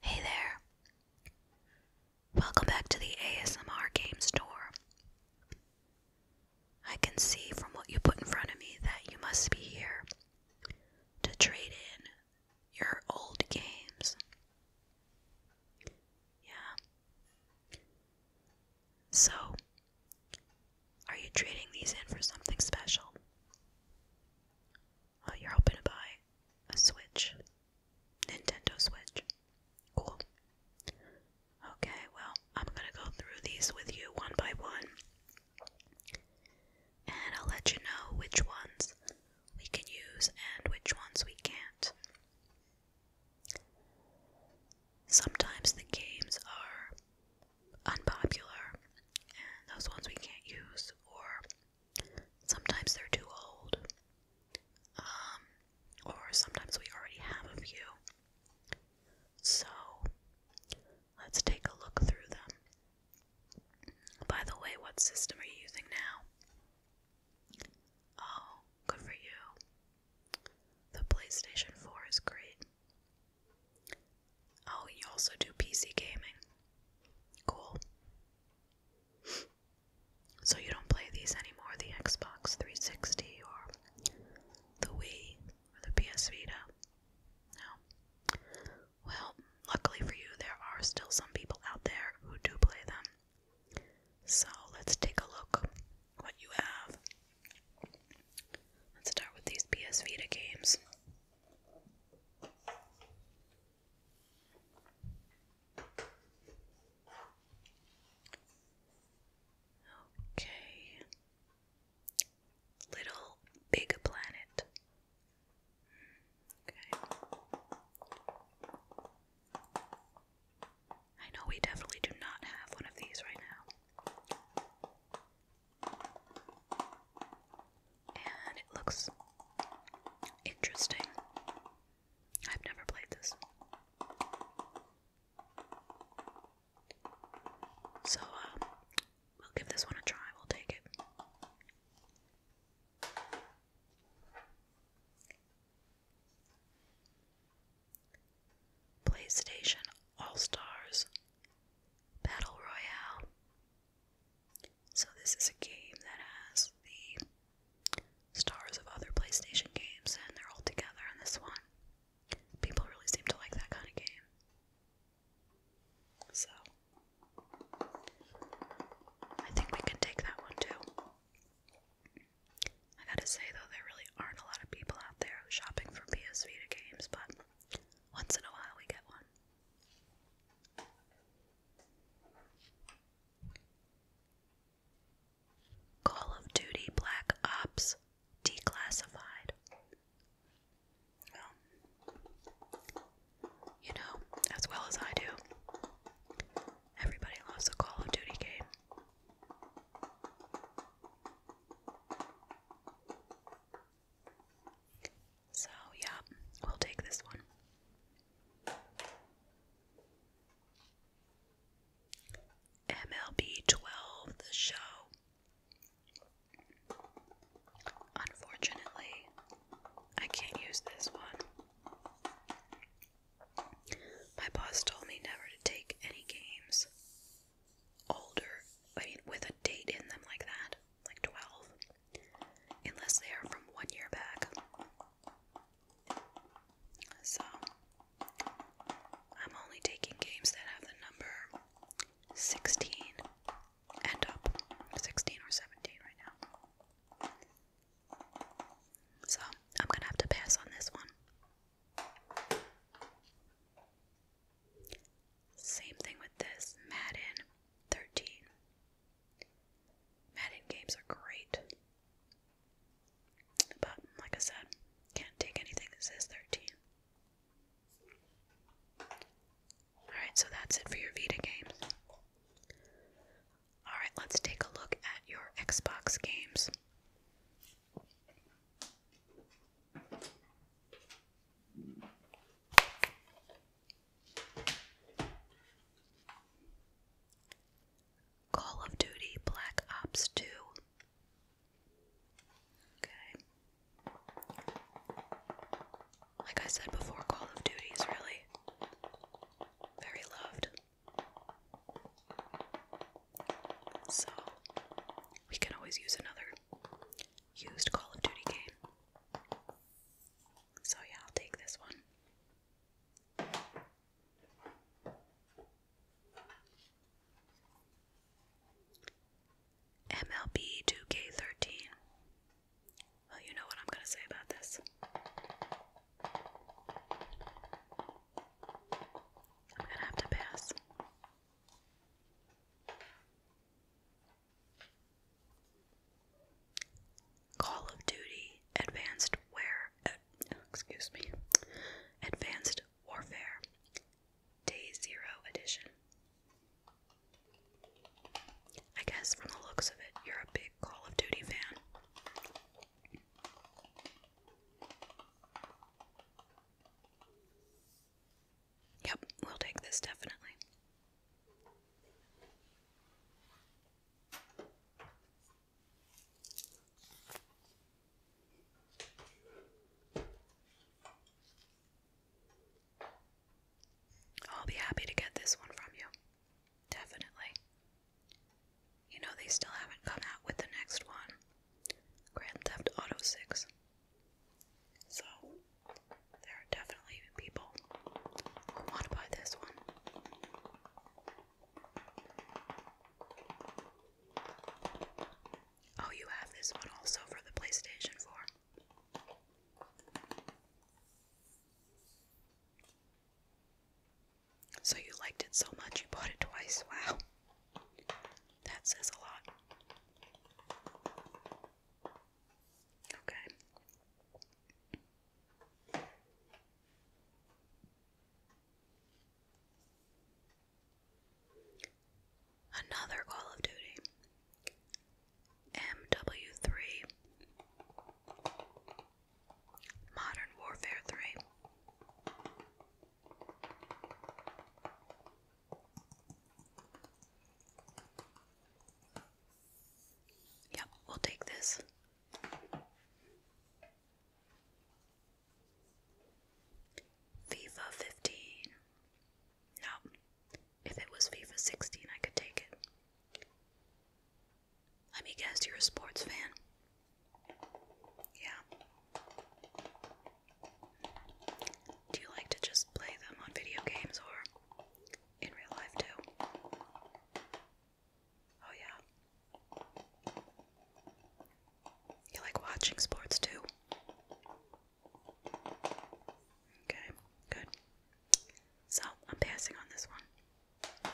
Hey there. Welcome back to the ASMR Game Store. I can see from what you put in front of me that you must be here to trade in your old games. Yeah. So, are you trading these in for something special? you're hoping to buy a Switch. Nintendo Switch. Cool. Okay, well, I'm gonna go through these with you one by one. And I'll let you know which ones we can use and which ones we can't. Sometimes the games are unpopular, and those ones we can't use, or sometimes they're too old, um, or sometimes we already have a few. So, let's take a look through them. By the way, what system are you using now? Oh, good for you. The PlayStation 4 is great. Oh, you also do PC gaming. Cool. So you don't play these anymore, the Xbox 360 or the Wii or the PS Vita? No. Well, luckily for you, there are still some people out there who do play them. So let's take a look what you have. Let's start with these PS Vita games. Okay. Little Big Planet. Hmm, okay. I know we definitely do not have one of these right now. And it looks interesting. I've never played this. So, um, we'll give this one a try. We'll take it. PlayStation All Stars Battle Royale. So, this is a game that has the stars of other PlayStation games and they're all together in this one. People really seem to like that kind of game. So, I think we can take that one too. I gotta say though, there really aren't a lot of people out there shopping for PS Vita games, but once in a while we get one. Call of Duty Black Ops Declassified. you know, as well as I do, everybody loves a Call of Duty game. So, yeah, we'll take this one. MLB 12, the show. Unfortunately, I can't use this one. My boss told me never to take any games older, I mean, with a date in them like that, like 12, unless they are from one year back. So, I'm only taking games that have the number 16 and up, 16 or 17 right now. So, I'm gonna have to pass on this one. Same thing with this Madden 13. Madden games are great. But, like I said, can't take anything that says 13. Alright, so that's it for your Vita games. Alright, let's take a look at your Xbox games. Call of Duty Black Ops 2. Okay. Like I said before, Call of Duty is really very loved. So, we can always use another used Call of Duty game. So, yeah, I'll take this one. MLB 2K13. Well, you know what I'm going to say about this. I'm gonna have to pass. Call of Duty Advanced Ware uh, excuse me. Advanced Warfare Day Zero Edition. I guess from the looks of it, you're a big Call of Duty fan. Yep, we'll take this definitely. I'll be happy to get this one from you. Definitely. You know they still haven't come out with the next one. Grand Theft Auto 6. So, there are definitely people who want to buy this one. Oh, you have this one also for the PlayStation 4. So you liked it so much you bought it twice. Wow. That says a lot. Okay. Another Call of Duty. MW3. Modern Warfare 3. Yep, we'll take this. FIFA 15. No, if it was FIFA 16, I could take it. Let me guess, you're a sports fan. Yeah. Do you like to just play them on video games or in real life too? Oh, yeah. You like watching sports too? Okay, good. So I'm passing on this one.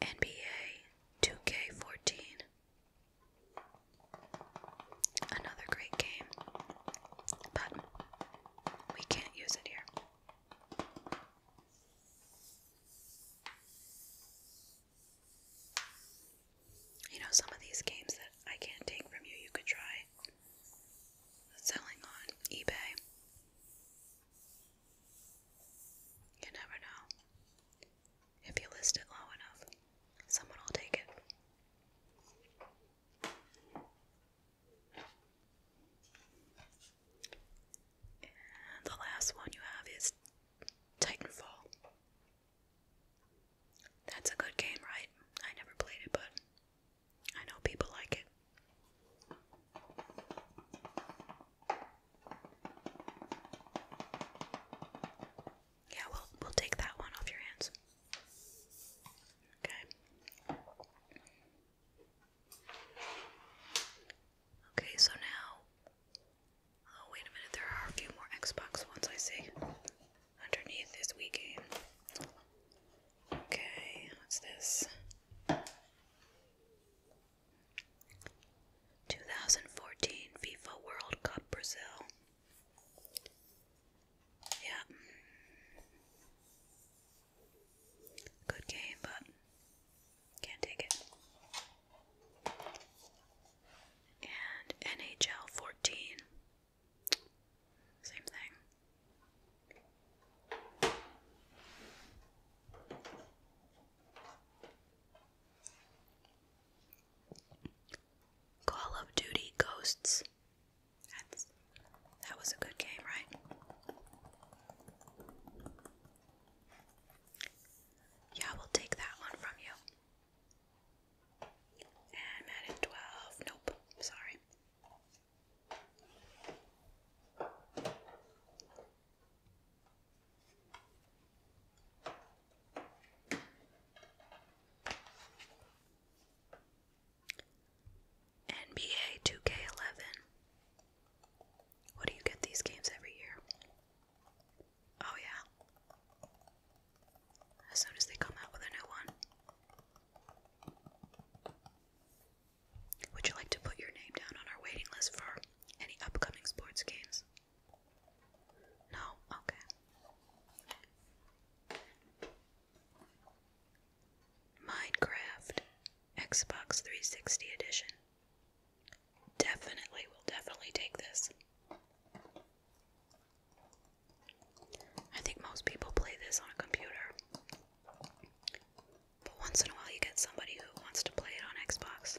NBA 2K14. Another great game, but we can't use it here. You know, some of these games that I can't take from you, you could try selling on eBay. You never know. If you list it low enough, someone will take it the last one you have is Titanfall. That's a good game, right? I never played it, but I know people like it. Yeah, we'll we'll take that one off your hands. Okay. Okay, so now. Oh, wait a minute, there are a few more Xbox ones I see. Underneath is Wii game. Okay, what's this? 2014 FIFA World Cup Brazil. Yeah. Good game, but can't take it. And NHL 14. Same thing. Call of Duty Ghosts. That's, that was a good game, right? Yeah, we'll take that one from you. And at 12. Nope, sorry. NBA 2K11. What do you get these games every year? Oh, yeah. As soon as they come out with a new one. Would you like to put your name down on our waiting list for any upcoming sports games? No? Okay. Minecraft Xbox 360 edition. Definitely, will definitely take this. I think most people play this on a computer. But once in a while, you get somebody who wants to play it on Xbox.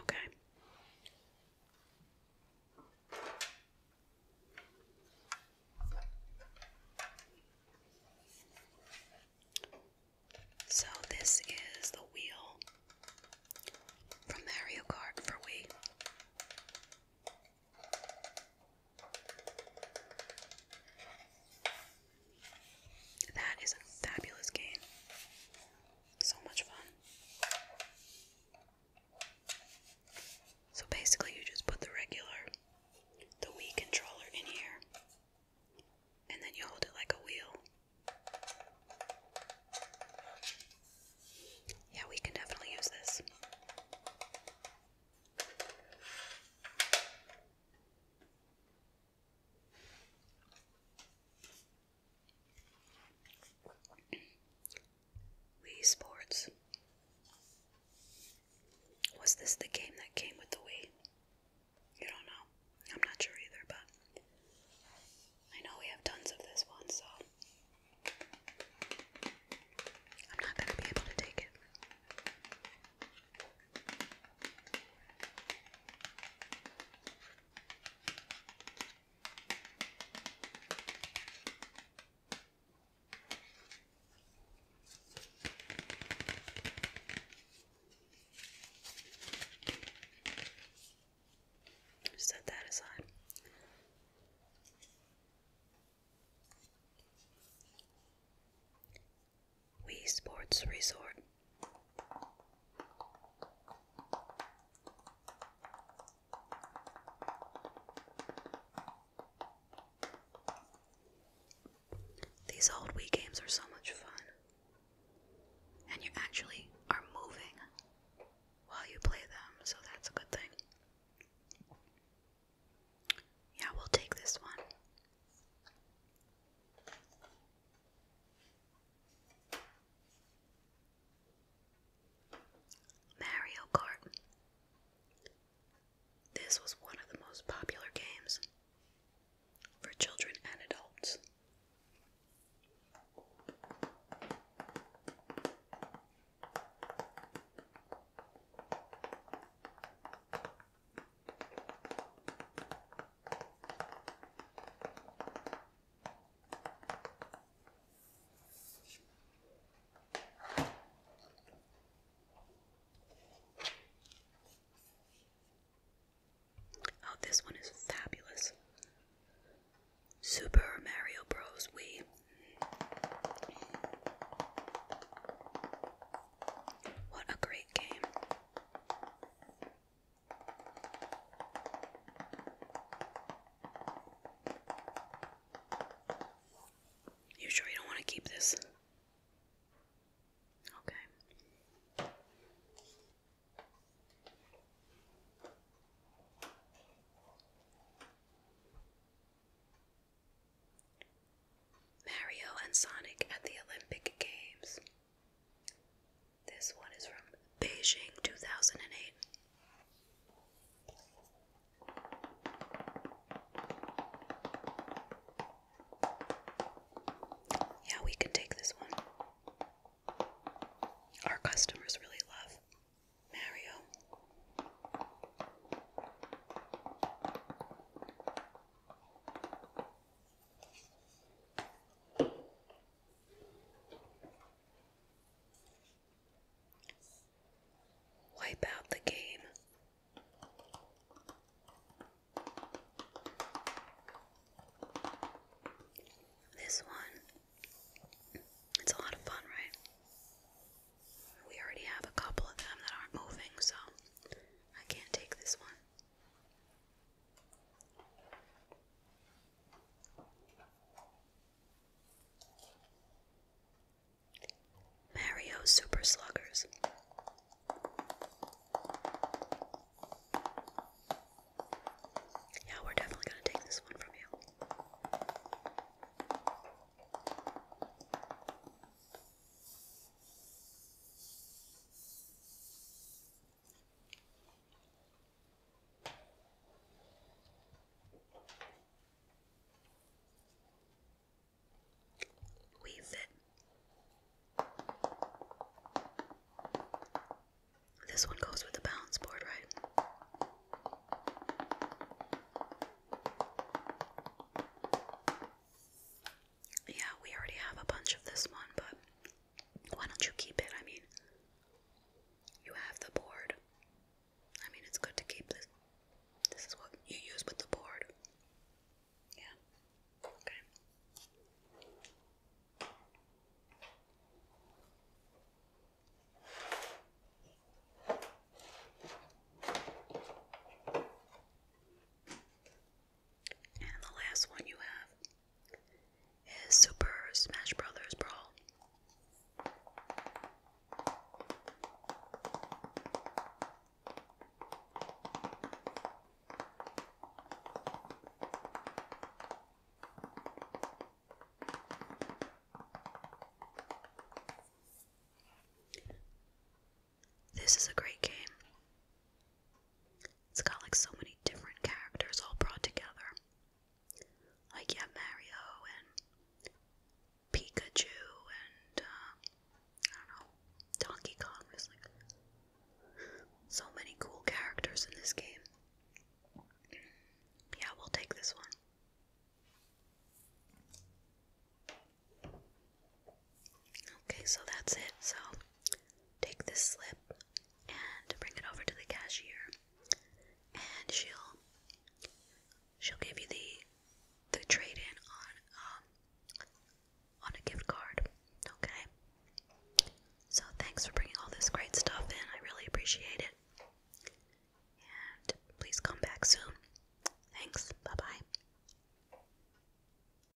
Okay. So, this is the wheel from Mario Kart for Wii. That is a fabulous game. So much fun. So basically, you just put the regular, the Wii controller in here, and then you hold it like a wheel. Yeah, we can definitely use this. Wii Sports. Was this the game that came with the Wii? You don't know. I'm not sure either, but I know we have tons of this one, so I'm not going to be able to take it. Set that aside. Wii Sports Resort. These old Wii games are so much fun. And you actually are moving while you play them, so that's a good thing. Yeah, we'll take this one. Mario Kart. This was one of the most popular games for children and adults. Oh, this one is fabulous. Super Mario Bros. Wii. What a great game. You sure you don't want to keep this? Okay. Mario and Sonic at the Olympic Games. This one is from Beijing 2008. Yeah, we can take this one. Our customers really love Mario. Wipe out the game. This one, it's a lot of fun, right? We already have a couple of them that aren't moving, so I can't take this one. Mario Super Sluggers. Yeah, we're definitely going to take this one from you. Weave it. This one goes with the balance board, right? Yeah, we already have a bunch of this one, but why don't you keep it? I mean, you have the board. I mean, it's good to keep this. This is what you use with the board. Yeah. Okay. And the last one you have is Super Smash Brothers Brawl. This is a great game. It's got like so many different characters all brought together. Like, yeah, Mario and Pikachu and, uh, I don't know, Donkey Kong. There's like so many cool characters in this game. Yeah, we'll take this one. Okay, so that's it. So take this slip and bring it over to the cashier, and she'll she'll give you the the trade in on um on a gift card. Okay. So thanks for bringing all this great stuff in. I really appreciate it. And please come back soon. Thanks. Bye bye.